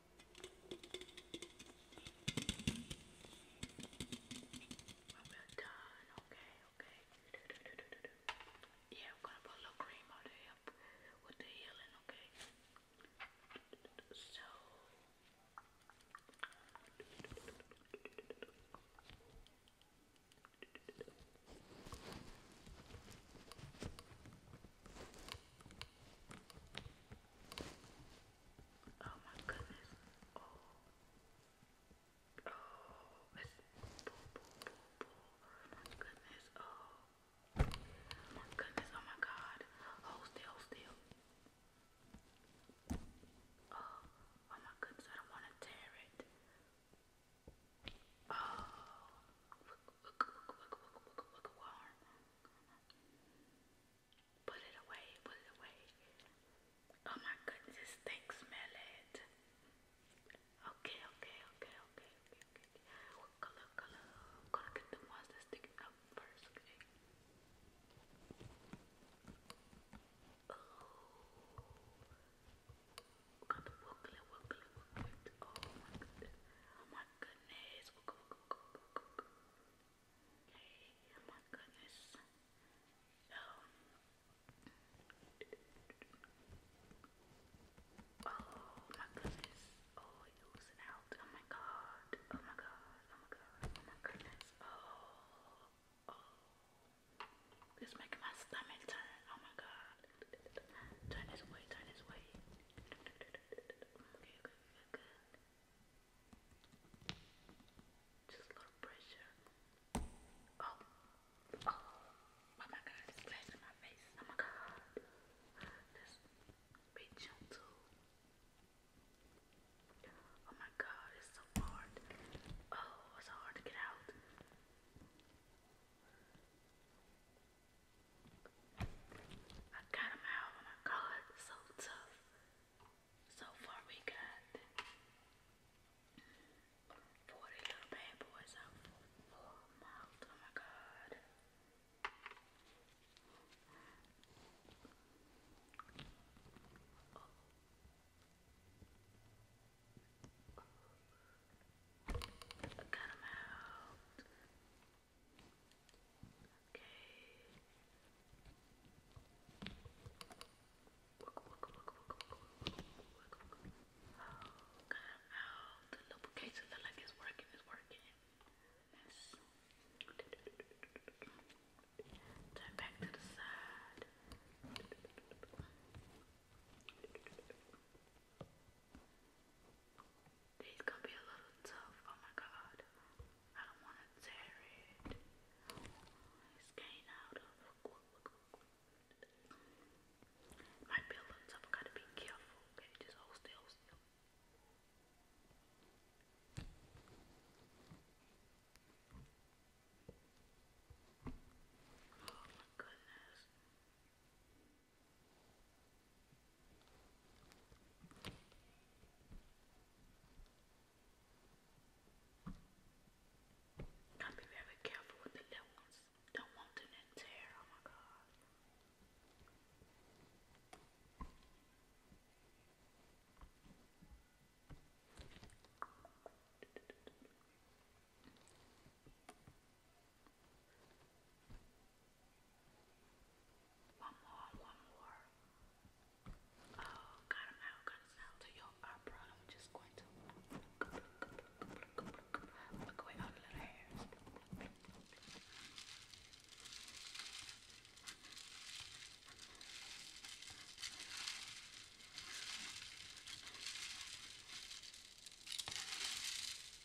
we're done. Okay, okay. Yeah, I'm gonna put a little cream on the hip with the healing, okay? So Oh my goodness. Oh. Oh, oh, my goodness. Oh. my goodness. Oh my god. Hold still, Oh. Oh my goodness. I don't want to tear it. Oh warm. Put it away, put it away. Oh my goodness, it. Okay, okay, okay, okay, okay, okay. color, color? gonna get the ones sticking up first, oh. oh my goodness. Oh my goodness. Hey, oh my goodness. Um. Oh my goodness. Oh, it out. Oh my god. Oh my god. Oh my god. Oh my goodness. Oh. Oh. It's making my stomach turn. Oh my god. Turn this way, turn this way. Just a little pressure. Oh, oh, oh my god, it's flash my face. Oh my god. Just be gentle. Oh my god, it's so hard. Oh, it's so hard to get out. I got out of my color, so tough. So far we got 40 little bad boys out Oh my god. Oh. I got out. Oh, the lubrication like it's working, it's working. Turn back to the side. These gonna be a little tough. Oh my god. I don't wanna tear it. It's getting out of might be a little gotta be careful. Okay, just hold still, still. Oh my goodness. Gotta be very careful with the little ones. Don't want them to tear. Oh my god. One more, one more. Oh, God, I'm now to your opera. I'm just going to look away all the little hairs.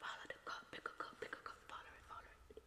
Follow the cup, pick a cup, pick a cup, follow it, follow it.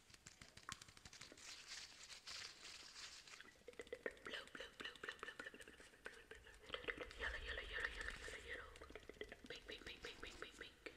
Blue, blue, blue, blue, blue, blue, blue, blue, blue, blue, yellow, yellow, yellow, yellow, yellow, yellow, pink, pink, pink, pink, pink, pink, pink.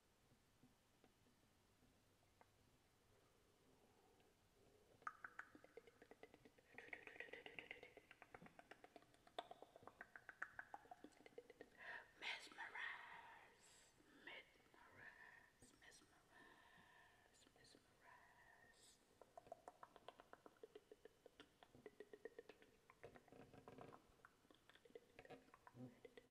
Mesmerize, mesmerize, mesmerize, mesmerize.